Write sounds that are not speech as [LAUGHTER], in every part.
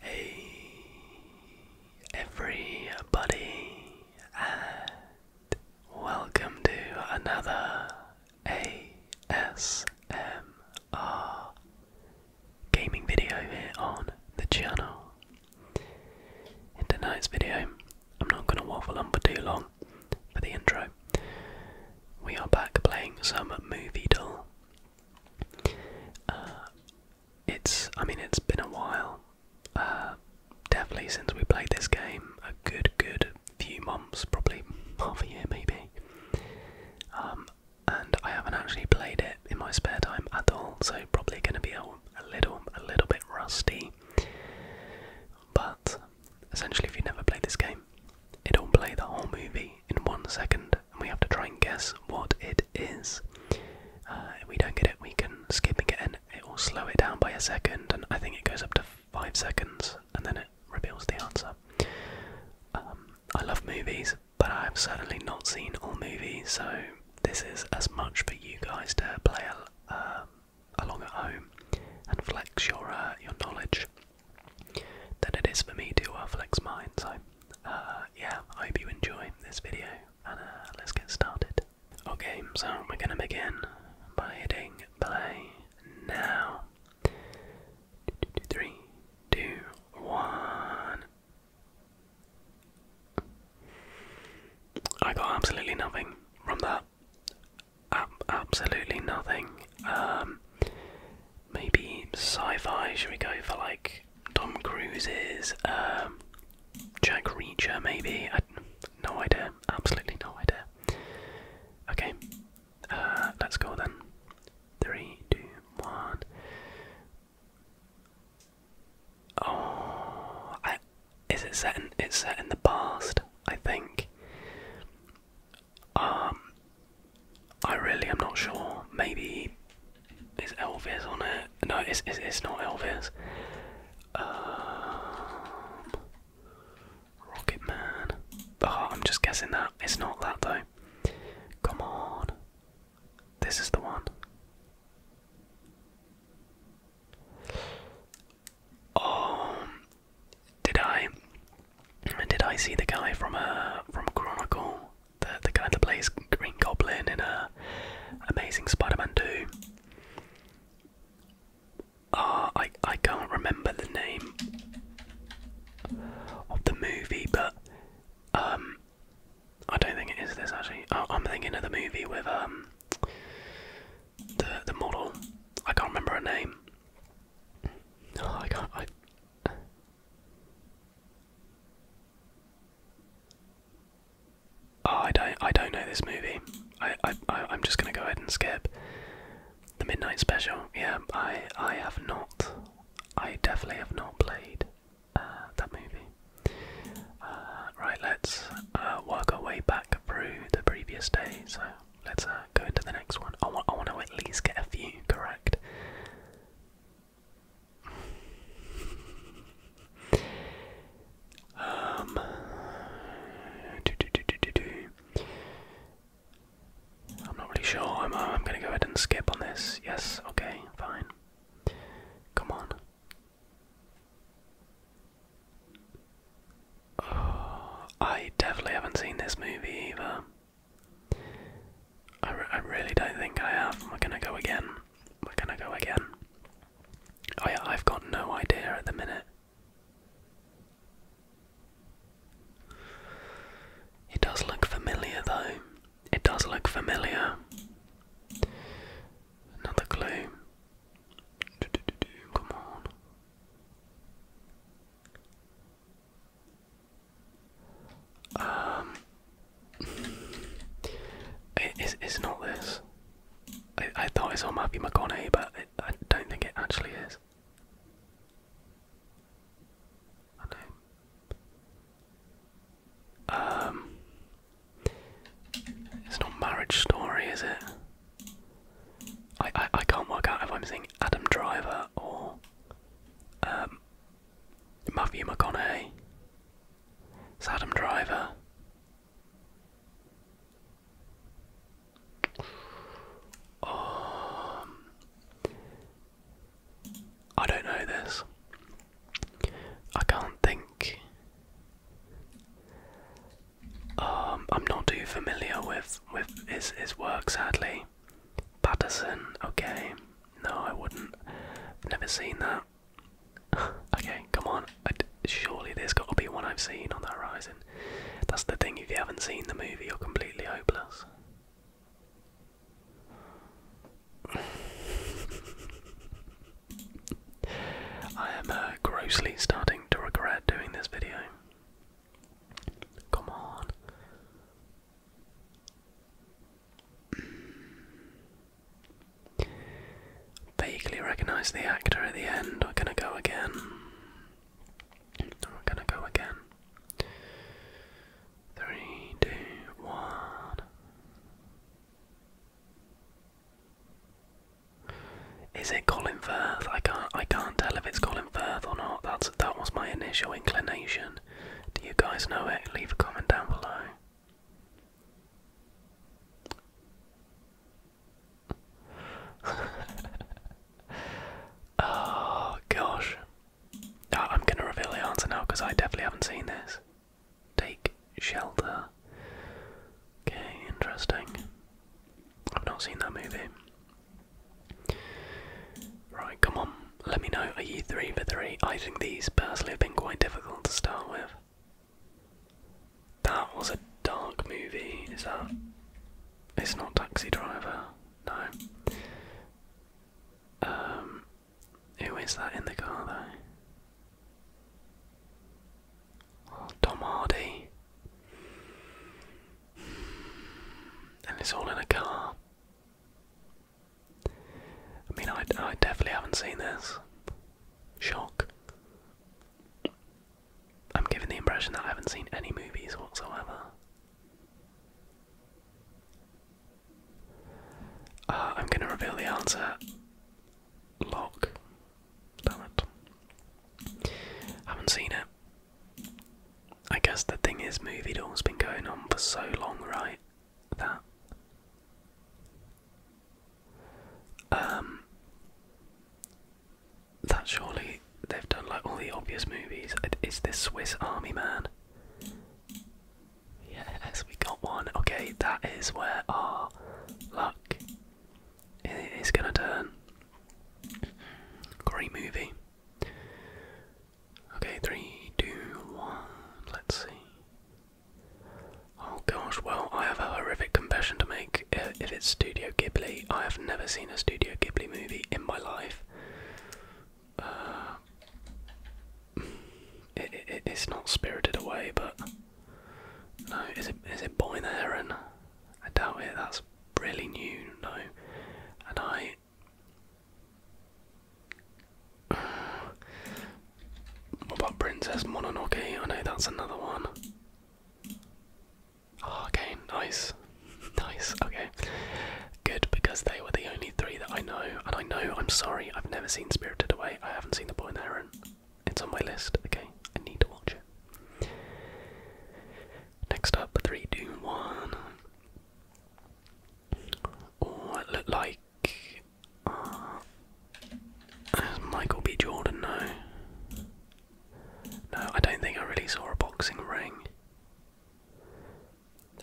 Hey everybody and welcome to another ASMR gaming video here on the channel. In tonight's video, I'm not going to waffle on for too long for the intro. We are back playing some movie doll. Uh, it's I mean it's been a while. Uh, definitely since we played this game, a good good few months, probably half a year maybe. Um, and I haven't actually played it in my spare time at all, so probably going to be a, a little a little bit rusty. But essentially, if you never played this game, it'll play the whole movie in one second we have to try and guess what it is. Uh, we don't get it, we can skip again. It will slow it down by a second, and I think it goes up to five seconds, and then it reveals the answer. Um, I love movies, but I have certainly not seen all movies, so this is as much for you guys to play um, along at home and flex your uh, your knowledge than it is for me to uh, flex mine. Uh, yeah, I hope you enjoy this video, and uh, let's get started. Okay, so we're gonna begin by hitting play now. Three, two, one. I got absolutely nothing from that. absolutely nothing. Um, maybe sci-fi. Should we go for like Tom Cruise's um, Jack Reacher, maybe. no idea. Absolutely no idea. Okay, uh, let's go then. Three, two, one. Oh, is it set? In, it's set in the past, I think. Um, I really am not sure. Maybe it's Elvis on it? No, it's it's, not Elvis. Um, Rocket Man. Oh, I'm just guessing that it's not that though. Come on, this is the one. Oh, did I did I see the guy from uh from Chronicle? the, the guy that plays Green Goblin in a Amazing Spider-Man 2. Uh, I, I can't remember the name of the movie, but um, I don't think it is this actually. I, am thinking of the movie with um, the the model. I can't remember her name. Oh, I can't. Oh, I don't. I don't know this movie. I. I. I'm just gonna go ahead and skip the midnight special. Yeah, I. I have not. I definitely have not played uh, that movie. Uh, right. Let's uh, work our way back through the previous day. So let's go into the next one. I want. I want to at least get a few correct. Um. Do, do, do, do, do. I'm not really sure. I'm, uh, I'm going to go ahead and skip on this. Yes, okay, fine. Come on. [SIGHS] I definitely haven't seen this movie either. I, really don't think I have. We're gonna go again. We're gonna go again. Oh I've got no idea at the minute. It does look familiar though. It does look familiar. Another clue. come on. Um, it's, it's not this. I, I thought it saw Matthew McConaughey, but it, I don't think it actually is. Um, it's not Marriage Story, is it? I, I I can't work out if I'm seeing Adam Driver or um, Matthew McConaughey. It's Adam Driver. Um, I don't know this. I can't think. Um, I'm not too familiar with with his his work, sadly. Patterson, okay. No, I wouldn't. I've never seen that. [LAUGHS] okay, come on. surely there's got to be one I've seen on the horizon. That's the thing, if you haven't seen the movie, you're completely hopeless. [LAUGHS] I am uh, grossly starting to regret doing this video. Come on. Vaguely recognize the actor at the end. We're gonna go again. We're gonna go again. Three, two, one. Is it Colin Firth? I can't. I can't tell if it's Colin Firth or not. That's that was my initial inclination. Do you guys know it? Leave a comment down below. [LAUGHS] oh gosh. Ah, I'm gonna reveal the answer now because I definitely haven't seen this. Take shelter. Okay, interesting. I've not seen that movie. Right, come on let me know, are you three for three? I think these personally have been quite difficult to start with. That was a dark movie, is that? It's not Taxi Driver, no. Um, who is that in the car though? Oh, Tom Hardy. And it's all in a car. I mean, I, I definitely haven't seen this. Shock. I'm giving the impression that I haven't seen any movies whatsoever. Uh, I'm gonna reveal the answer. Lock. Damn it. Haven't seen it. I guess the thing is, Movie Doll's been going on for so long, right? that. Um, that surely they've done like all the obvious movies. It is this Swiss Army Man? Yes, we got one. Okay, that is where our luck is gonna turn. Great movie. Okay, three, two, one, let's see. Oh gosh, well, I have a horrific confession to make. Uh, if it's Studio Ghibli, I have never seen a Studio Ghibli movie in my life. Uh, it, it, it's not Spirited Away, but no, is it is it Boy the Heron? I doubt it. That's really new, no. And I [SIGHS] what about Princess Mononoke? I know that's another one. Ah, okay, nice. [LAUGHS] nice, okay. Good, because they were the only three that I know. And I know, I'm sorry, I've never seen Spirited Away. I haven't seen The Boy and the Heron. It's on my list, okay? I need to watch it. Next up, 3 Doom 1. looked like uh, Michael B. Jordan, no. No, I don't think I really saw a boxing ring.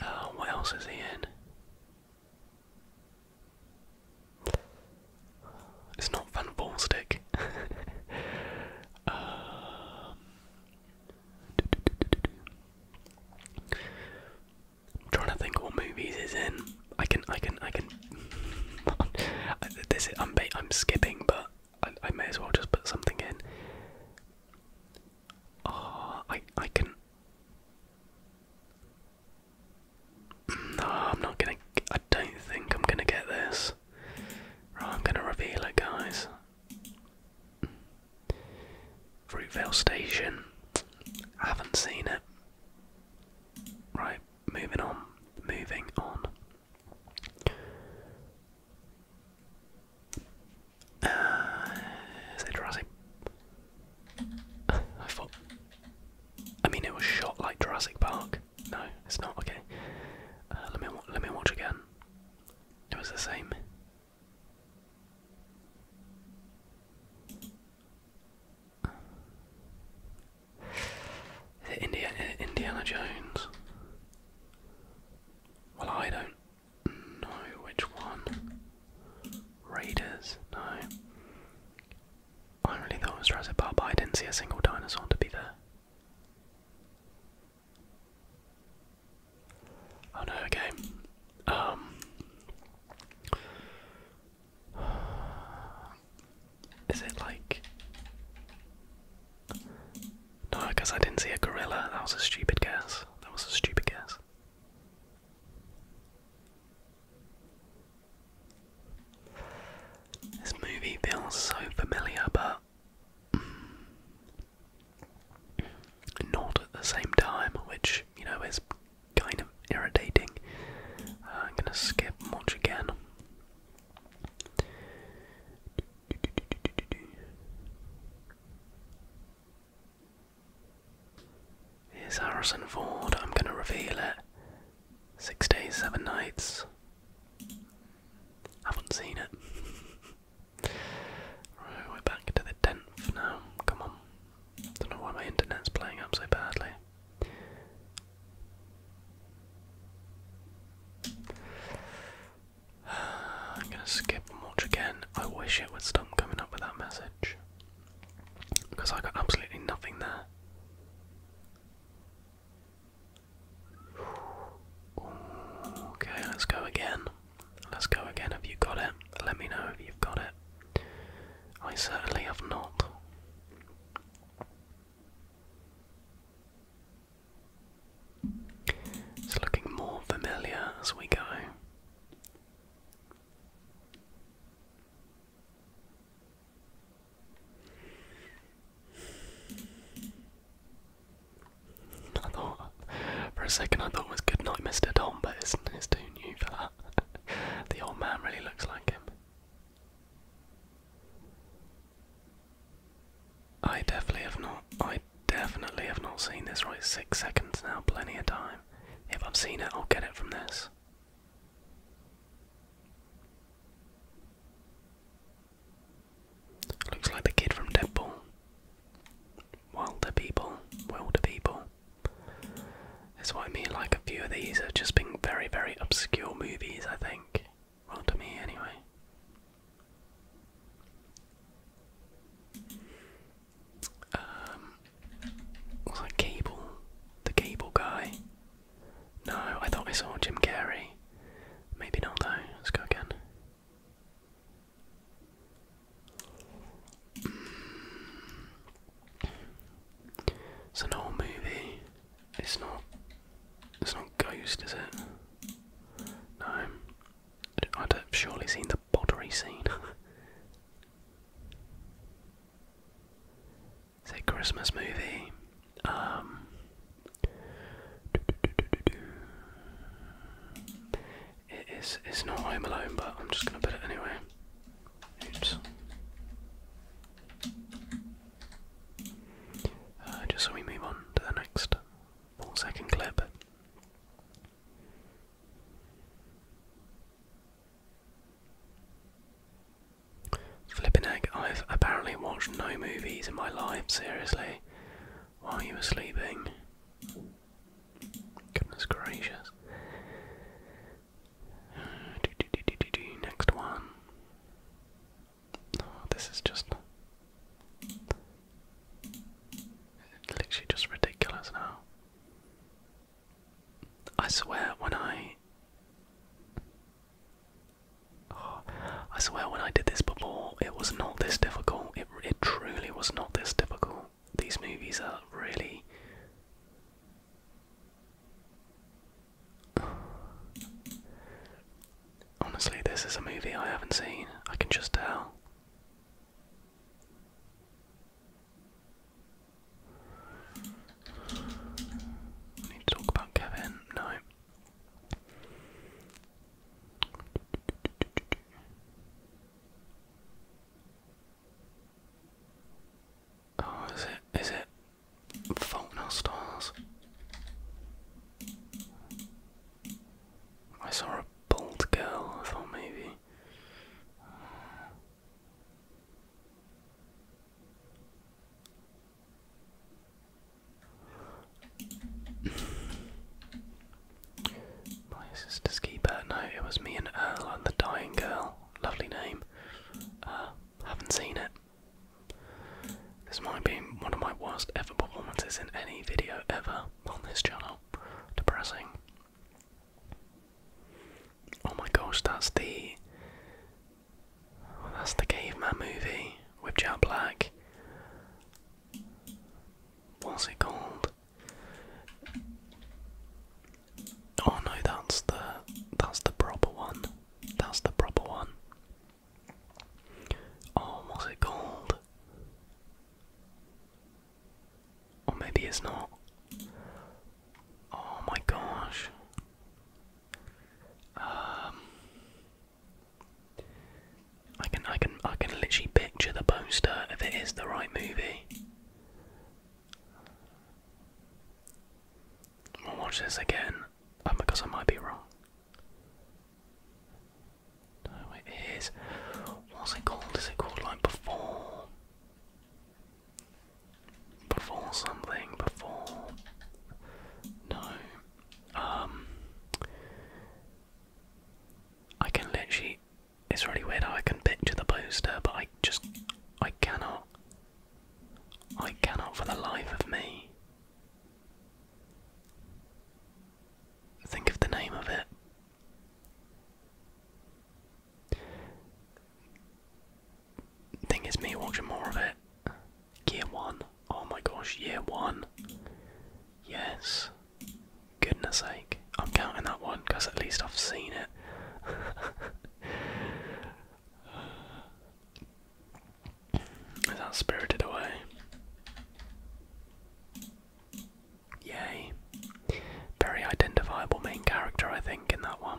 Uh, what else is he in? It's not Van Ballstick. [LAUGHS] Um, I'm trying to think what movies is in. I can, I can, I can. [LAUGHS] this is, I'm, I'm skipping, but I, I may as well just put something in. Oh, I, I can. No, I'm not gonna. I don't think I'm gonna get this. I'm gonna reveal it, guys. Fruitvale Station. I haven't seen it. Right, moving on. Moving on. Uh, is it Jurassic? I thought. I mean, it was shot like Jurassic Park. No, it's not. Okay. Uh, let me let me watch again. It was the same. Is Indiana, Indiana Jones? Well, I don't know which one. Raiders? No. I really thought it was Jurassic Park, but I didn't see a single dinosaur to be there. Oh no, okay. Um Is it like No, because I didn't see a gorilla. That was a stupid guess. That was a stupid guess. This movie feels so familiar, but mm not at the same time, which, you know, is kind of irritating. Uh, I'm gonna skip much again. Here's Harrison Ford, I'm gonna reveal it. Six days, seven nights. Haven't seen it. [LAUGHS] right, we're back to the tenth now. Come on. Don't know why my internet's playing up so badly. [SIGHS] I'm gonna skip and watch again. I wish it would stop coming up with that message. Because I got absolutely nothing there. [SIGHS] Okay, let's go again. Let's go again. Have you got it? Let me know if you've got it. I certainly have not. It's looking more familiar as we go. I for a second, I thought it was Good Night, Mr. Tom, but it's, it's too new for that. [LAUGHS] the old man really looks like him. I definitely have not. I definitely have not seen this. Right, six seconds now, plenty of time. If I've seen it, I'll get it from this. Looks like the kid from Deadpool wilder people, wilder people. That's what I mean, like a few of these have just been very, very obscure movies, I think. Well, to me, anyway. Um, was that Cable? The Cable Guy? No, I thought I saw Jim Carrey. Maybe not, though. Let's go again. It's an old movie. It's not. It's not Ghost, is it? No. I'd have surely seen the pottery scene. [LAUGHS] it's a Christmas movie. Um, it is. It's not Home Alone, but I'm just going to put it anyway. Oops. Uh, just so we move on to the next four-second clip. Flipping egg, I've apparently watched no movies in my life, seriously, while you were sleeping. Goodness gracious. Uh, do, do, do, do, do, next one. Oh, this is just literally just ridiculous now. I swear when I oh, I swear when I did this before, it was not this difficult. It it truly was not this difficult these movies are really Honestly, this is a movie I haven't seen. I can just tell. need to talk about Kevin. No. Oh, is it? Is it? Fault in stars. I saw a bald girl. I thought maybe. My sister's keeper. No, it was me and Earl and the dying girl. Lovely name. Uh, haven't seen it. This might be one of my worst ever performances in any video ever on this channel. Depressing. Oh my gosh, that's the that's the caveman movie with Jack Black. What's it called? Oh no, that's the that's the proper one. That's the proper one. Oh, what's it called? Or maybe it's not. Oh my gosh. Um I can I can I can literally picture the poster if it is the right movie. We'll watch this again, oh, because I might be wrong. No, it is. What's it called? Is it called like before? Before something? Before? No. Um. I can literally it's really weird how I can picture the poster, but I just I cannot. I cannot for the life of me. Think of the name of it. Think it's me watching more of it. Year one. Oh my gosh, year one. Yes. Goodness sake. I'm counting that one because at least I've seen it. [SIGHS] Is that spirited away? Yay. Very identifiable main character, I think, in that one.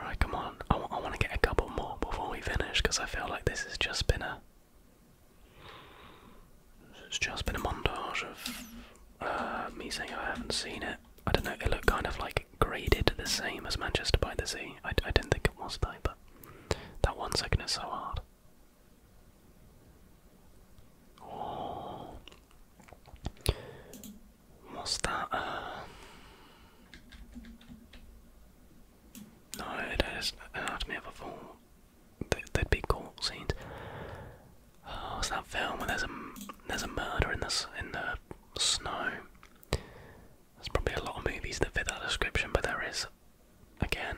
Right, come on. I, I want to get a couple more before we finish because I feel like this has just been a it's just been a montage of uh, me saying I haven't seen it. I don't know, it looked kind of like graded the same as Manchester by the Sea. I, I didn't think it was that, but that one second is so hard. Oh. What's that? Uh... No, it is. Anatomy of a Fall there would be cool scenes. Oh, it's that film where there's a there's a murder in the in the snow. There's probably a lot of movies that fit that description, but there is again.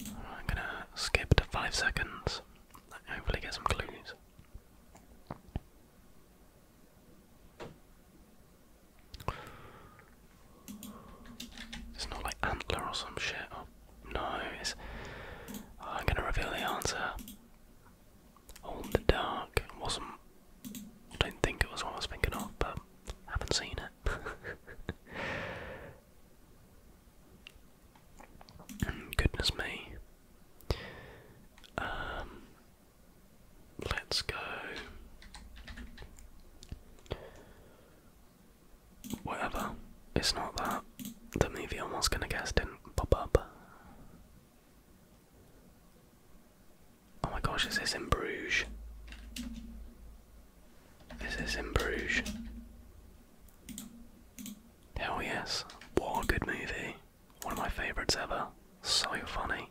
I'm gonna skip to five seconds. Hopefully, get some clues. It's not like antler or some shit. Oh, no, it's. Oh, I'm gonna reveal the answer. All in the dark. wasn't. I don't think it was what I was thinking of, but haven't seen it. [LAUGHS] Goodness me. Um, Let's go. Whatever. It's not that. The movie I was gonna guess didn't pop up. Oh my gosh, is this in Bruges? Is this in Bruges? Hell yes. What a good movie. One of my favourites ever. So funny.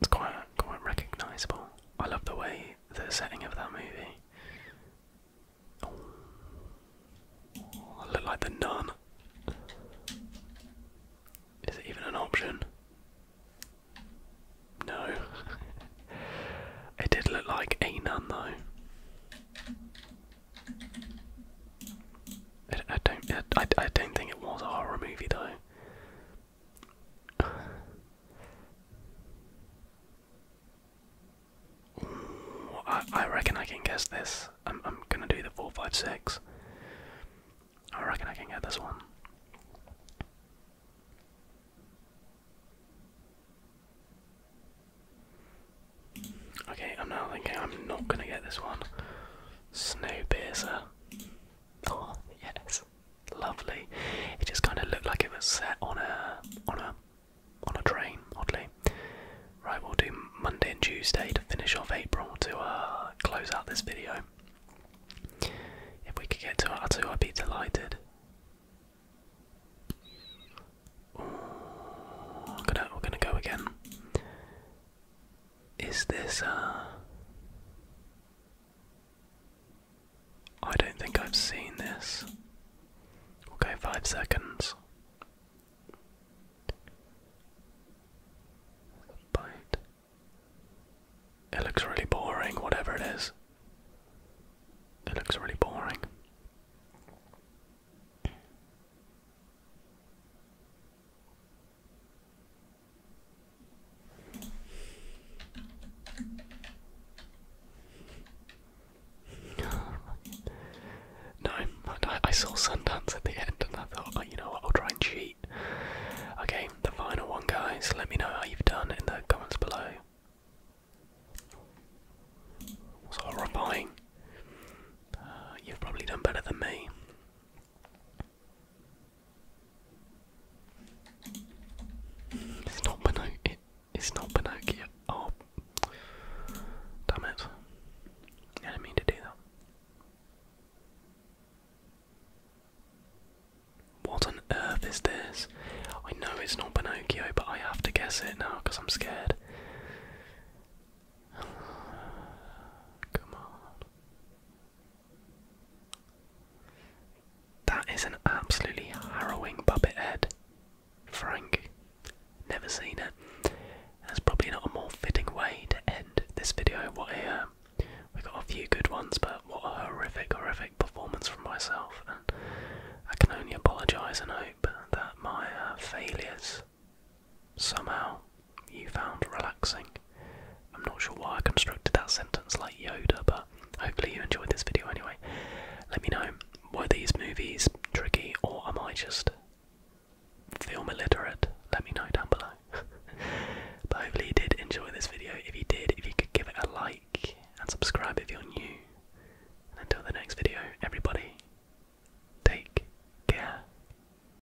It's quite quite recognisable. I love the way the setting of that movie. Oh, like the nun. Is it even an option? No. [LAUGHS] it did look like a nun though. I, don't. I, I don't think it was a horror movie though. I, I reckon I can guess this. I'm, I'm gonna do the four, five, six. I reckon I can get this one. Okay, I'm now thinking I'm not gonna get this one. Snowpiercer. Oh yes, lovely. It just kind of looked like it was set on a on a on a train. Oddly, right. We'll do Monday and Tuesday to finish off April to uh, close out this video. If we could get to our two, I'd be delighted. Ooh, i gonna, we're gonna go again. Is this uh I don't think I've seen this. Okay, five seconds. Bite. It looks really boring, whatever it is. It looks really boring. No, I, saw Sundance at the end and I thought, oh, you know what, I'll try and cheat. Okay, the final one, guys. Let me know how you've done in the comments below. It's horrifying. Uh, you've probably done better than me. It's not Pinocchio. it's not Pinocchio. Oh, damn it! I didn't mean to do What on earth is this? I know it's not Pinocchio, but I have to guess it now because I'm scared. [SIGHS] Come on. That is an absolutely harrowing puppet head, Frank. Never seen it. That's probably not a more fitting way to end this video. What a uh, we got a few good ones, but what a horrific, horrific performance from myself. And I can only apologise and hope that my uh, failures somehow you found relaxing. I'm not sure why I constructed that sentence like Yoda, but hopefully you enjoyed this video anyway. Let me know, were these movies tricky or am I just film illiterate? Let me know down below. [LAUGHS] but hopefully you did enjoy this video. If you did, if you could give it a like and subscribe if you're new. And until the next video, everybody, take care.